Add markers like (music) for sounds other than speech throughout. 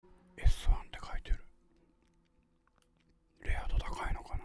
S1 って書いてるレア度高いのかな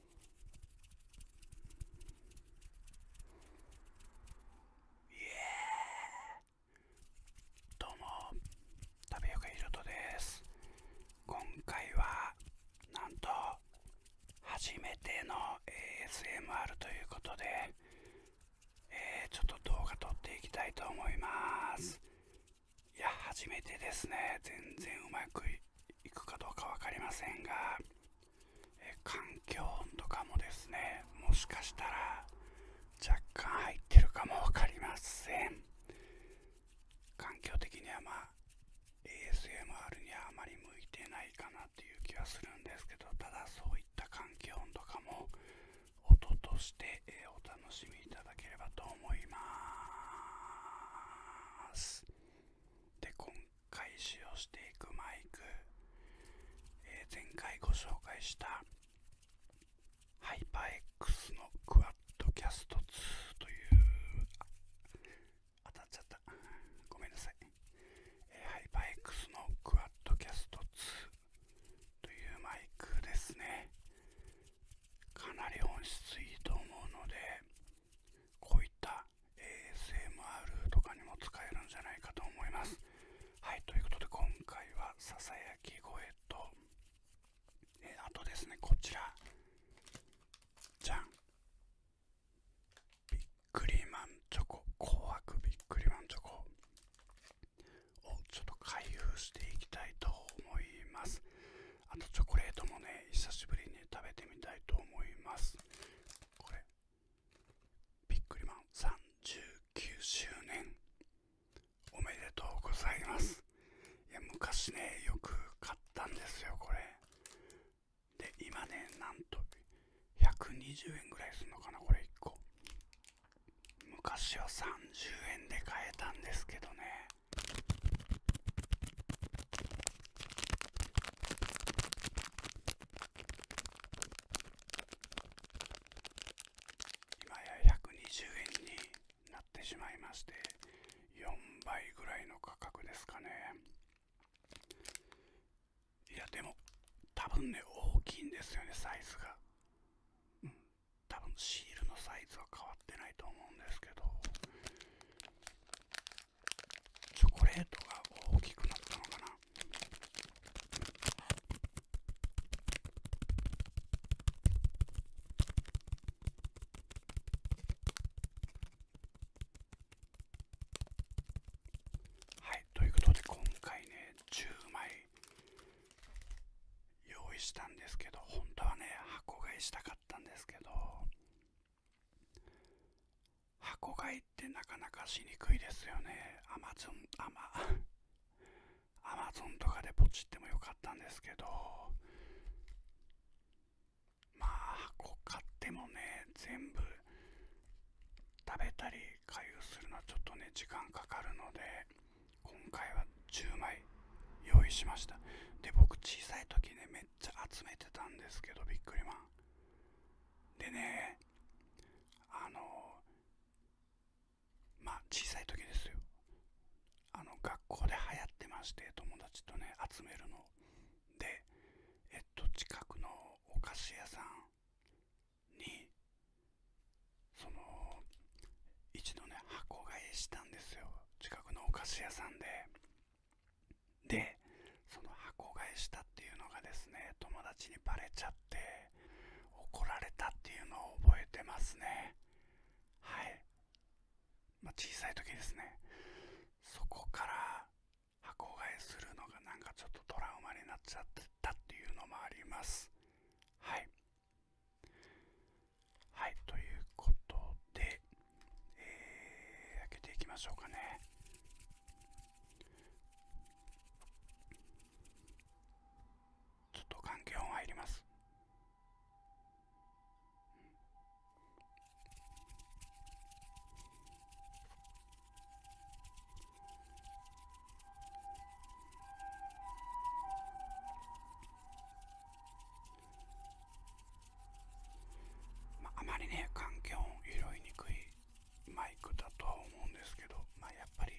イエーどうも食べよけいとです今回はなんと初めての ASMR ということで、えちょっと動画撮っていきたいと思いますいや初めてですね全然うまく行くかどうか分かりませんが、環境音とかもですねもしかしたら若干入ってるかも分かりません環境的にはま ASMR にはあまり向いてないかなという気はするんですけどただそういった環境音とかも音として、えお楽しみいただければと思いますで回使用していくマイク、え前回ご紹介したハイパー X のクワッドキャスト2という当たっちゃったごめんなさい、えー、ハイパー X のクワッドキャスト2というマイクですねかなり音質いいと思うのでこういった ASMR とかにも使えるんじゃないかと思いますはいということで今回はささやき声とえあとですねこちらじゃんびっくりマンチョコ紅白びっくりマンチョコをちょっと開封していきたいと思いますあとチョコレートもね久しぶりに食べてみたいと思いますこれビックリマン39周年おめでとうございますいや昔ねよく買ったんですよこれで今ねなんと120円ぐらいするのかなこれ1個昔は30円で買えたんですけどね今や120円になってしまいまして4倍ぐらいの価格ですかねいやでも多分ね大きいんですよねサイズがうん多分シールのサイズは変わってないと思うんですけどチョコレートが大きくなったのかなはいということで今回ね10枚用意したんですけど本当はね箱買いしたかったんですけど箱買いってなかなかしにくいですよねアマゾンアマアマゾンとかでポチってもよかったんですけどまあ箱買ってもね全部食べたり回遊するのはちょっとね時間かかるので今回は10枚用意しましたで僕小さい時めゃ集めてたんですけどビックリマンでねあのま小さい時ですよあの学校で流行ってまして友達とね集めるのでえっと近くのお菓子屋さんにその一度ね箱買いしたんですよ近くのお菓子屋さんででその箱買いしたっていうのがですね友達にばれちゃって怒られたっていうのを覚えてますねはい、まあ、小さい時ですねそこから箱買いするのがなんかちょっとトラウマになっちゃってたっていうのもありますはいはいということでえー、開けていきましょうかねちょっと換気音入りますまあ、まりね環境を拾いにくいマイクだとは思うんですけど、まやっぱり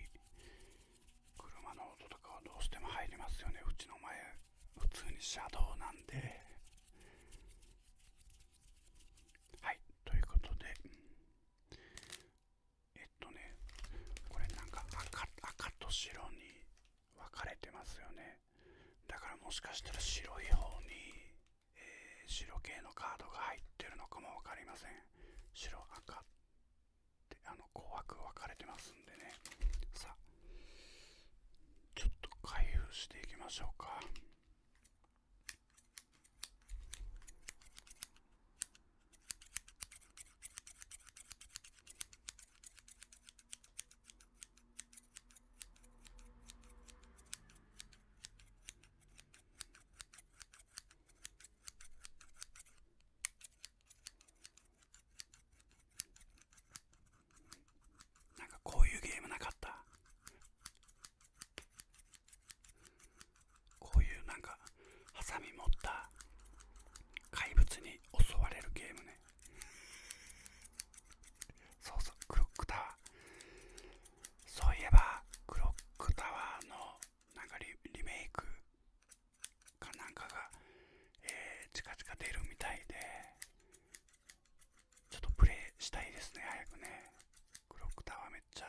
車の音とかはどうしても入りますよねうちの前普通に車道なんではいということでえっとねこれなんか赤と白に分かれてますよねだからもしかしたら白い方に、え白系のカードが入ってるのかも分かりません白赤ってあの紅白分かれてますんでねさあちょっと開封していきましょうかなんかこういうゲームなかったこういうなんかハサミ持った怪物に襲われるゲームねそうそうクロックタワーそういえばクロックタワーのなんリメイクかなんかが、えー、近々出るみたいでちょっとプレイしたいですね早くねクロックタワーめっちゃ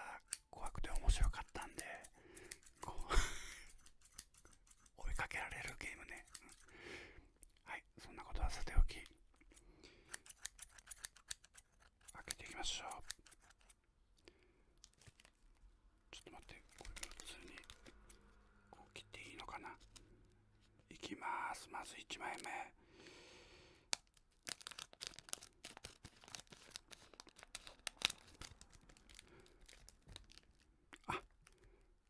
怖くて面白かったんで (laughs) 追いかけられるゲームね、はいそんなことはさておき開けていきましょうちょっと待ってこれ普通にこう切っていいのかないきますまず1枚目あ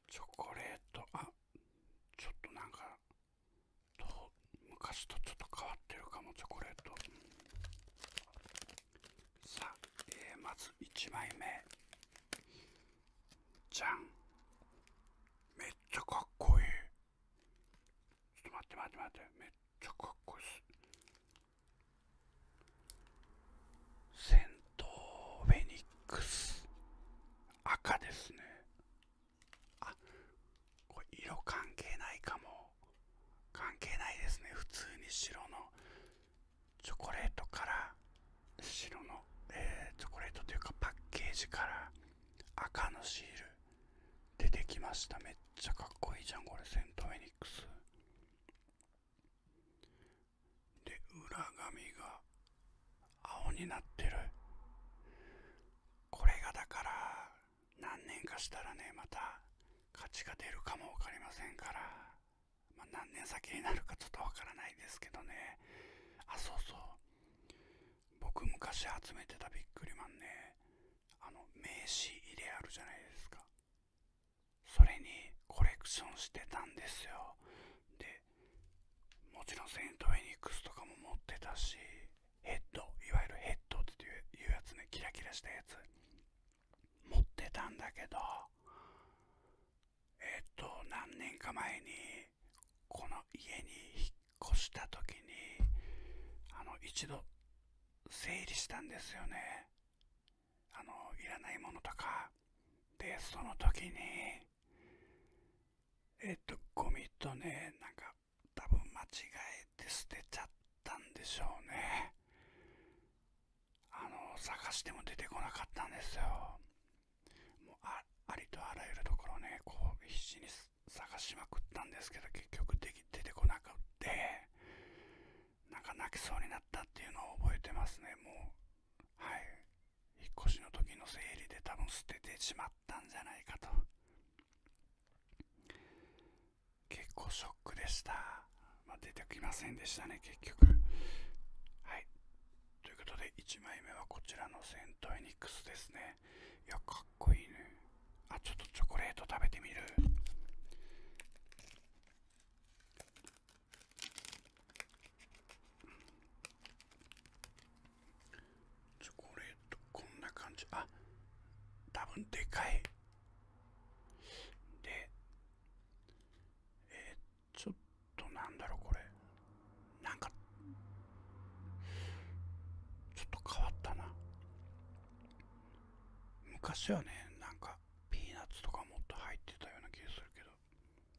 チョコレートあちょっとなんかと昔とちょっと変わってるかもチョコレートさあ、えー、まず1枚目じゃんめっちゃかっこいいちょっと待って待って待ってめっちゃかっこいいっセントフェニックス赤ですねあこれ色関係ないかも関係ないですね普通に白のチョコレートから白の、えチョコレートというかパッケージから赤のシール出てきましためっちゃかっこいいじゃんこれセントフェニックスで裏紙が青になってるこれがだから何年かしたらねまた価値が出るかも分かりませんから、ま何年先になるかちょっと分からないですけどねあそうそう僕昔集めてたビックリマンねあの名刺入れあるじゃないですかそれにコレクションしてたんですよでもちろんセント・フェニックスとかも持ってたしヘッドいわゆるヘッドっていうやつねキラキラしたやつ持ってたんだけどえっと何年か前にこの家に引っ越した時にあの一度整理したんですよねあのいらないものとかストの時にえっ、と、ゴミとね、なんか、多分間違えて捨てちゃったんでしょうね。あの、探しても出てこなかったんですよ。もうあ、りとあらゆるところね、こう、必死に探しまくったんですけど、結局でき出てこなくって、なんか泣きそうになったっていうのを覚えてますね、もう。はい。引っ越しの時の整理で多分捨ててしまったんじゃないかと結構ショックでした、ま出てきませんでしたね結局はいということで1枚目はこちらのセントエニックスですねいやかっこいいねあちょっとチョコレート食べてみるチョコレートこんな感じあ多分でかいでえちょっとなんだろうこれなんかちょっと変わったな昔はねなんかピーナッツとかもっと入ってたような気がするけど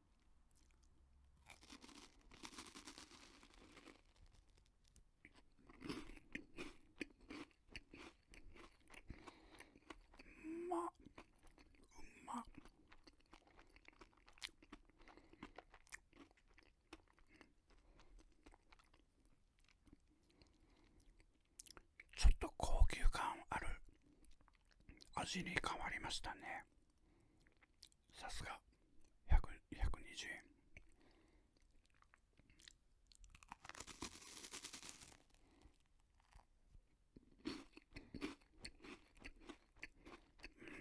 うまっうまっちょっと高級感ある味に変わりましたねさすが百二十円うん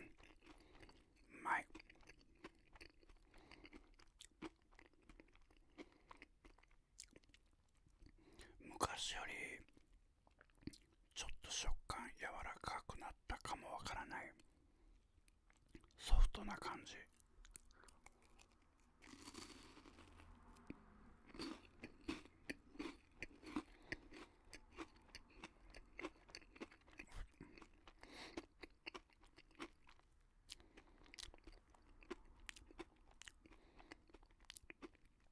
うまい昔よりちょっと食感柔らかくなったかもわからないソフトな感じ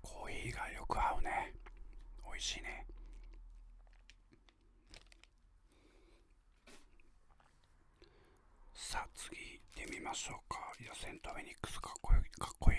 コーヒーがよく合うね美味しいねさあ次行ってみましょうかいやセントフェニックスかっこいいかっこいい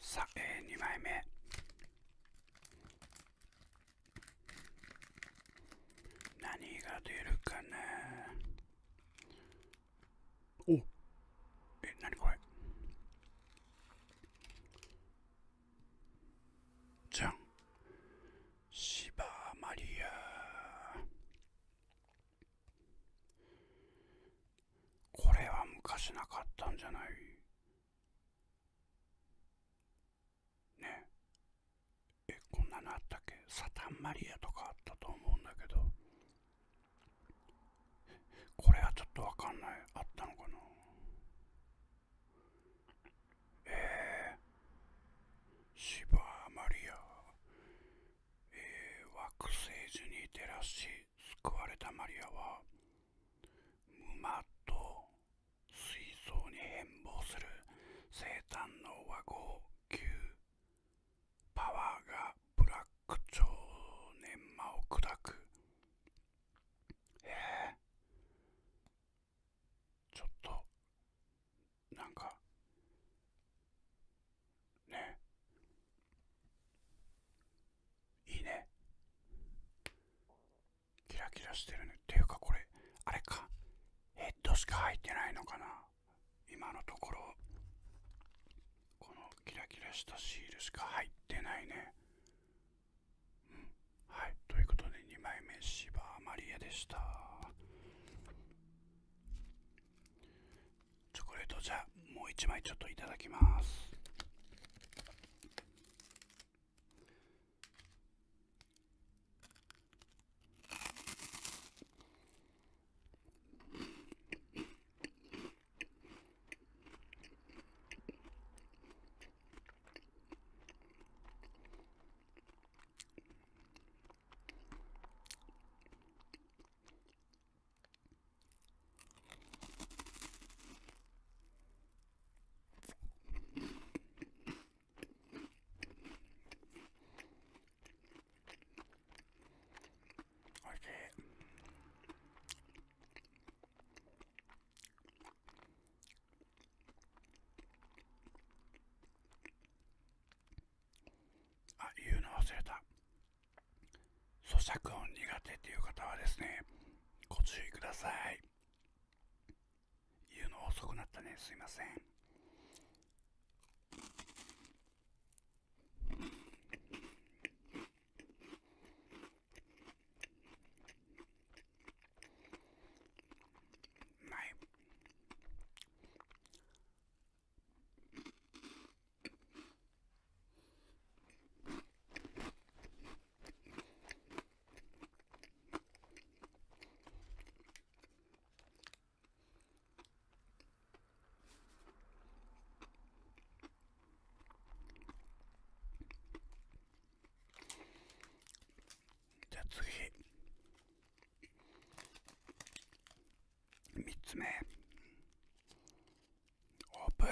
さあ、えー、2枚目何が出るかなおえ何これじゃんシバマリアこれは昔なかったんじゃないねえこんなのあったっけサタンマリアとかあったと思うんだけどこれはちょっとわかんないあったのかなえー、シバーマリアえー、惑星樹に照らし救われたマリアは無と水槽に変貌する生誕の和合級パワーがブラック超粘膜を砕くえちょっとなんかねいいねキラキラしてるねっていうかこれあれかヘッドしか入ってないのかな今のところこのキラキラしたシールしか入ってないねうんはいということで2枚目芝マリアでしたチョコレートじゃもう一枚ちょっといただきますおいしいあ言うの忘れた咀嚼音苦手っていう方はですねご注意ください言うの遅くなったねすいませんはいじゃあ次3つ目オープン。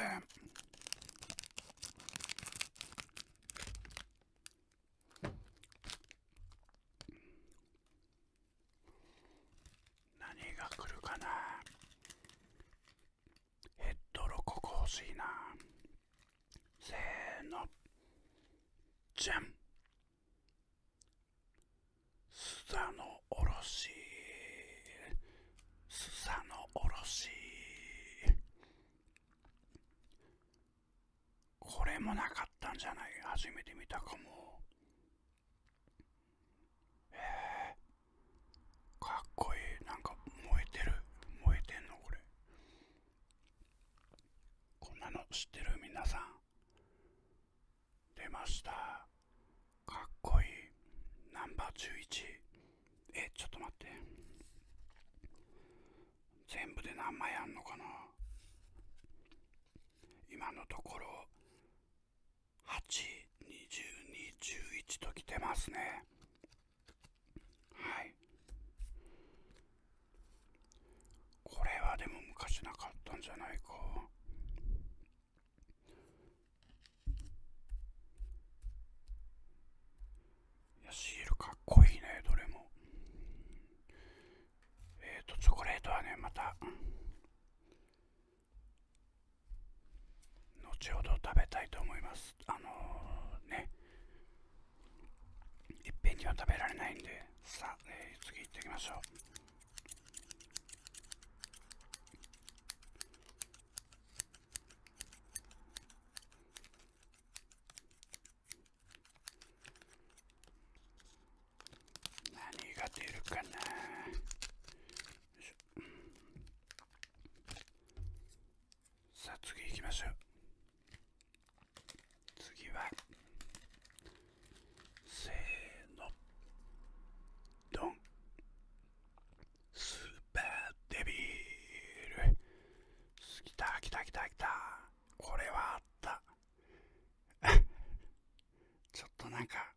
何が来るかなヘッドロココ欲しいなせーのじゃんスザのおろしすさのおろしこれもなかったんじゃない初めて見たかもえー、かっこいいなんか燃えてる燃えてんのこれこんなの知ってる皆さん出ましたかっこいいナンバー11えちょっと待って全部で何枚あんのかな今のところ82211ときてますねはいこれはでも昔なかったんじゃないかいやシールかっこいいねどれもえっ、とチョコレートはねまた後ほど食べたいと思いますあのねいっぺんには食べられないんでさあ、え次行ってきましょう何が出るかなさあ次行きましょう次はせーのドンスーパーデビル来た来た来た来たこれはあった (laughs) ちょっとなんか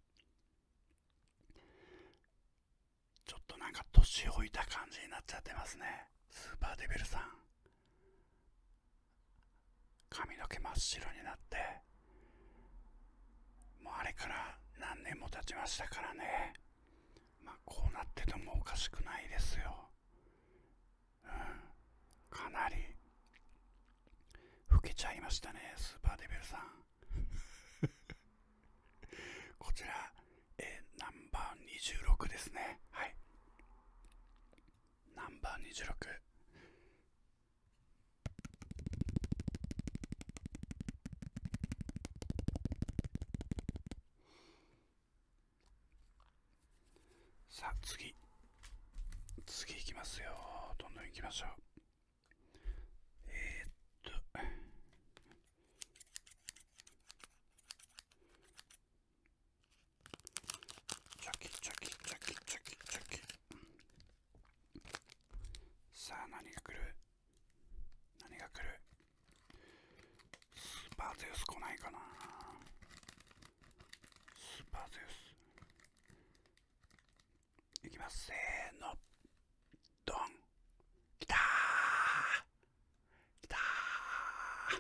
ちょっとなんか年老いた感じになっちゃってますねスーパーデビルさん髪の毛真っ白になってもうあれから何年も経ちましたからね。まあ、こうなっててもおかしくないですよ。うん。かなり、老けちゃいましたね、スーパーデビルさん。(laughs) こちら、えー、ナンバー26ですね。はい。ナンバー26。さあ次次いきますよどんどんいきましょうえっとチョキチョキチョキチョキチョキさあ何が来る何が来るスーパーゼウス来ないかなスーパーゼウスいきますせーのドン来たーきたー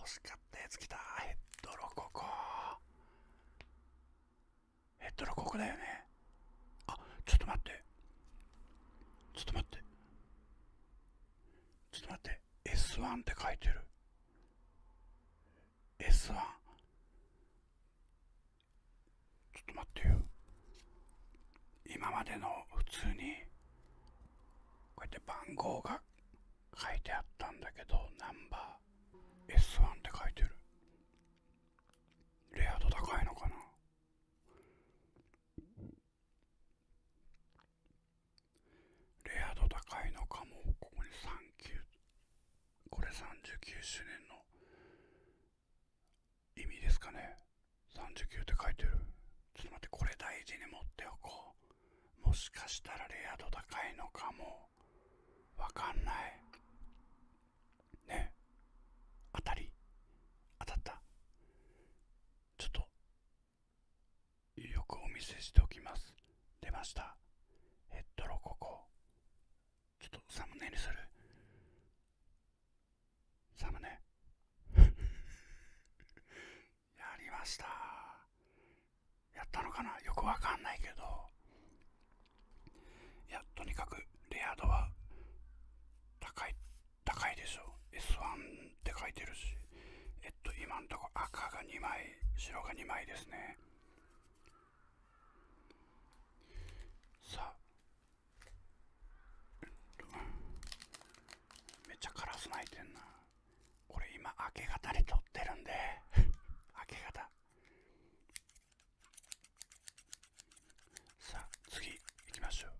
欲しかったやつ来たヘッドロココヘッドのこクだよねあちょっと待ってちょっと待ってちょっと待って S1 って書いてる S1 ちょっと待ってよ今までの普通にこうやって番号が書いてあったんだけどナンバー S1 って書いてるレア度高いのかなレア度高いのかもここに39これ39周年の意味ですかね39って書いてるちょっと待ってこれ大事に持っておこうもしかしたらレア度高いのかもわかんないね当たり当たったちょっとよくお見せしておきます出ましたヘッドロココちょっとサムネにするサムネ (laughs) やりましたやったのかなよくわかんないけどいや、とにかくレア度は高い、高いでしょ。S1 って書いてるし。えっと、今んとこ赤が2枚、白が2枚ですね。さあ。めっちゃカラス鳴いてんな。これ今明け方に撮ってるんで (laughs) 明け方。さあ次行きましょう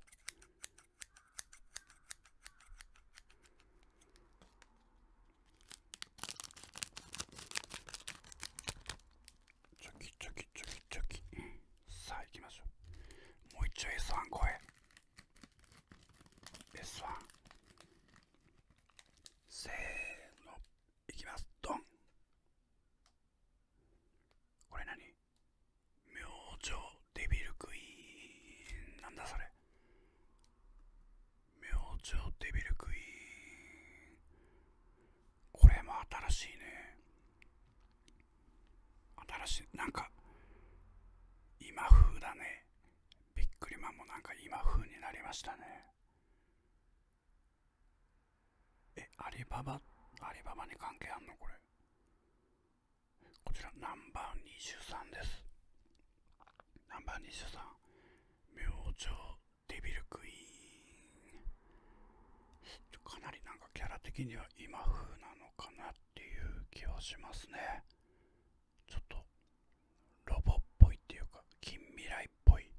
チョキチョキチョキチョキさあ行きましょうもう一丁 S1 声。S1 せーのいきますドンこれ何明星デビルクイーンなんだそれ明星デビルクイーンこれも新しいね新しいなんか今風だねびっくりマンもなんか今風になりましたねえ、アリババ、アリババに関係あんのこれ。こちら、ナンバー23です。ナンバー23、明星デビルクイーン。かなりなんかキャラ的には今風なのかなっていう気はしますね。ちょっと、ロボっぽいっていうか、近未来っぽい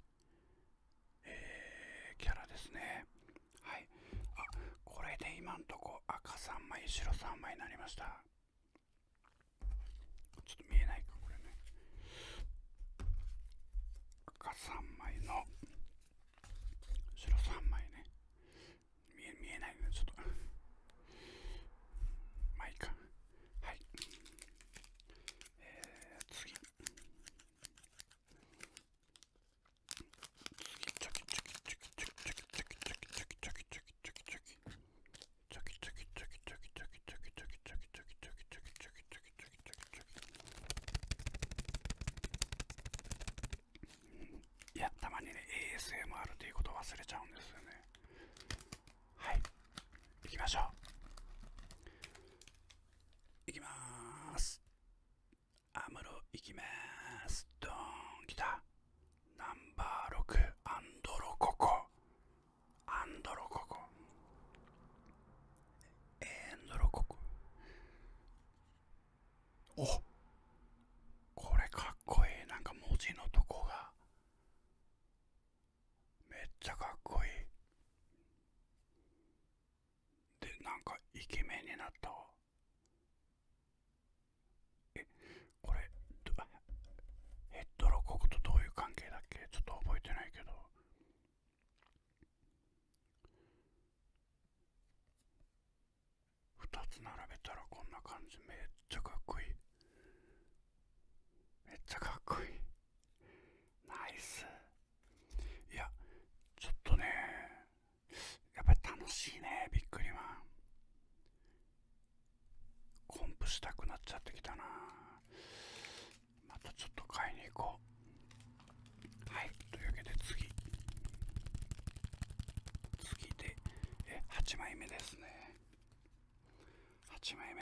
えー、キャラですね。はい。あ、これで今んとこ赤3枚、白3枚になりました。ちょっと見えないか、これね。赤3枚の、白3枚ね。見え、ないね、ちょっと。まあいいか。はい。えー、次。いやたまにね ASMR っていうこと忘れちゃうんですよねはい行きましょう行きまーすアムロ行きまーす。ドーン、来た。ナンバー6、アンドロココ。アンドロココ。エンドロココ。おこれかっこいい。なんか文字のとこが。めっちゃかっこいい。でなんかイケメンになったわえこれヘッドロコクとどういう関係だっけちょっと覚えてないけど2つ並べたらこんな感じめっちゃかっこいいめっちゃかっこいいナイスいやちょっとねやっぱり楽しいねびっくりは。コンプしたくなっちゃってきたなまたちょっと買いに行こうはいというわけで次次でえ8枚目ですね8枚目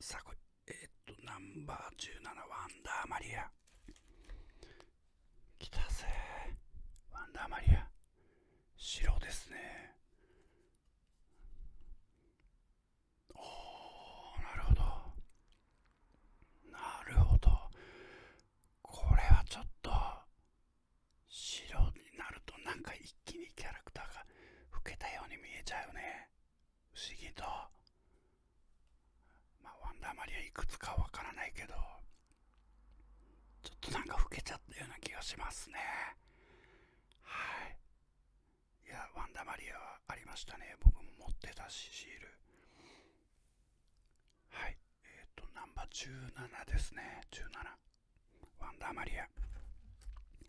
さあこれえっとナンバー17ワンダーマリア来たぜワンダーマリア白ですねおーなるほどなるほどこれはちょっと白になるとなんか一気にキャラクターが老けたように見えちゃうよね不思議と、まあ、ワンダーマリアいくつかわからないけど、ちょっとなんか老けちゃったような気がしますね。はい。いや、ワンダーマリアはありましたね。僕も持ってたし、シール。はい。えっ、と、ナンバー17ですね。17。ワンダーマリア。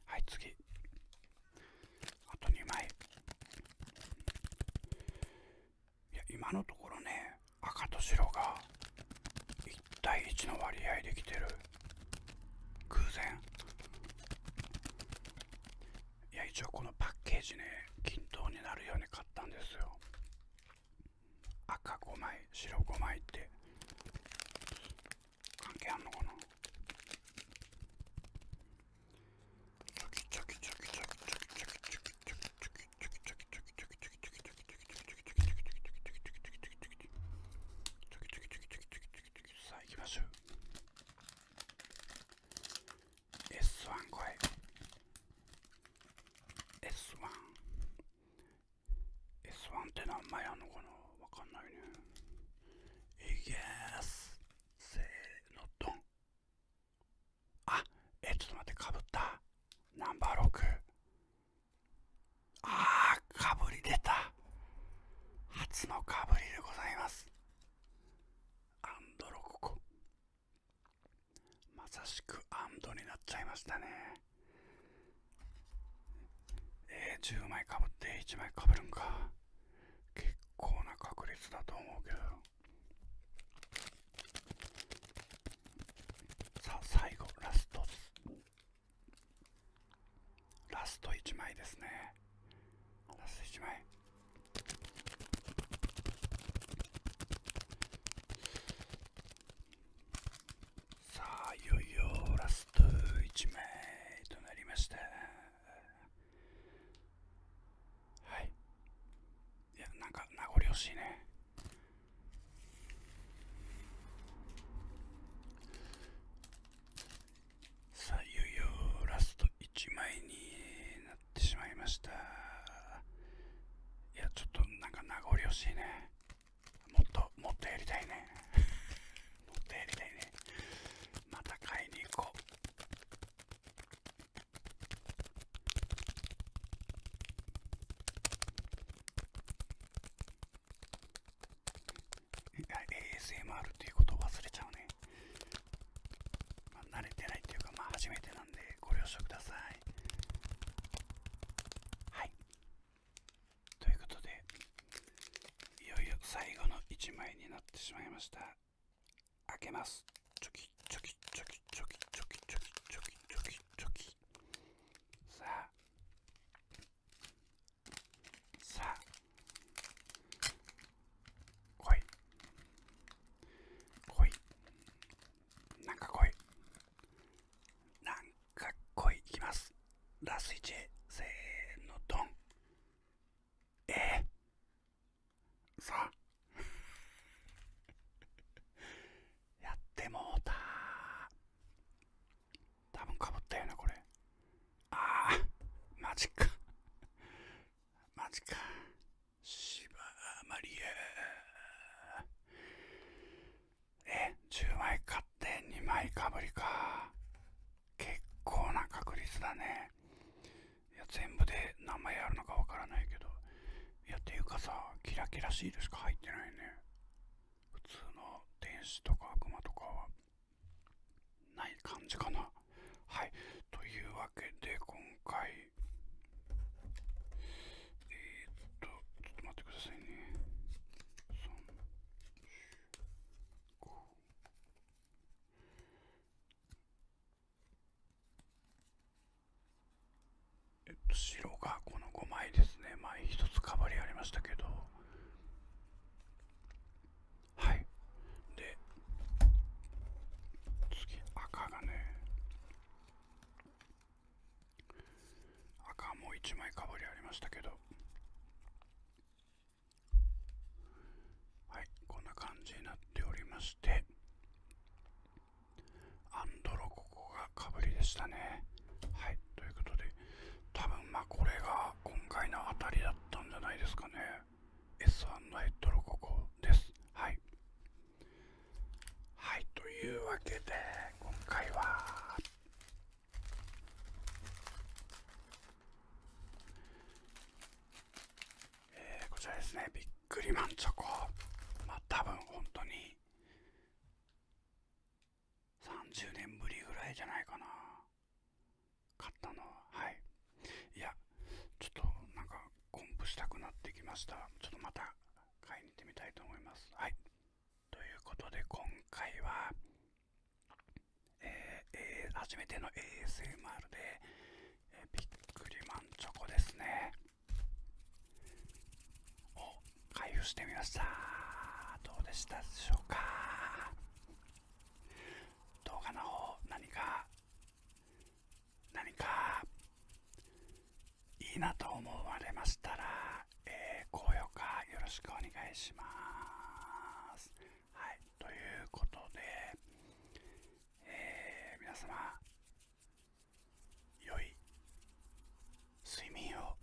はい、次。あと2枚いや今のところね赤と白が1対1の割合できてる偶然いや一応このパッケージね均等になるように買ったんですよ赤5枚白5枚って関係あんのかなチョキチョキチョキチョキチョキチョキチョキチョキチョキチョキチョキチョキチせーのドンあえちょっと待ってかぶったナンバー6あーかぶり出た初のかぶりでございますアンドロココまさしくアンドになっちゃいましたねえー、10枚かぶって1枚かぶるんか結構な確率だと思うけどさあ最後ラストラスト1枚ですねラスト1枚さあいよいよラスト1枚となりましたはいいやなんか名残惜しいねさあいよいよラスト1枚になってしまいましたいやちょっとなんか名残惜しいねもっともっとやりたいね持っりたねまた買いに行こう ASMR っていうことを忘れちゃうね、まあ、慣れてないっていうかまあ初めてなんでご了承くださいということでいよいよ最後の1枚になってしまいました開けますチョキチョキチョキチョキチョキチョキチョキチョキさあさあ来い来いなんか来いなんか来いいきますラス1へせーのドンええー、さ (laughs) やってもうた多分かぶったよなこれああマジかマジかシバマリアえ10枚買って2枚かぶりか結構な確率だねいや全部で名前あるのかわからないけどいやっていうかさキラキラシールしか入ってないね普通の天使とか悪魔とかはない感じかなはいというわけで今回えっとちょっと待ってくださいねえっと、白がこの5枚ですね。前1つかぶりありましたけど。はい。で、次、赤がね。赤もう1枚かぶりありましたけど。はいこんな感じになっておりましてアンドロココがかぶりでしたねはいということで多分まこれが今回の当たりだったんじゃないですかね S1 のドロココですはいはいというわけで今回はえこちらですねびっくりマンチョコまあ多分本当に30年ぶりぐらいじゃないかな買ったのははいいやちょっとなんかコンプしたくなってきましたちょっとまた買いに行ってみたいと思いますはいということで今回はえ初めての ASMR で、えー、びっくマンチョコですねを開封してみましたどうでしたでしょうか動画の方何か何かいいなと思われましたら、え高評価よろしくお願いしますはい、ということで、え皆様、良い睡眠を。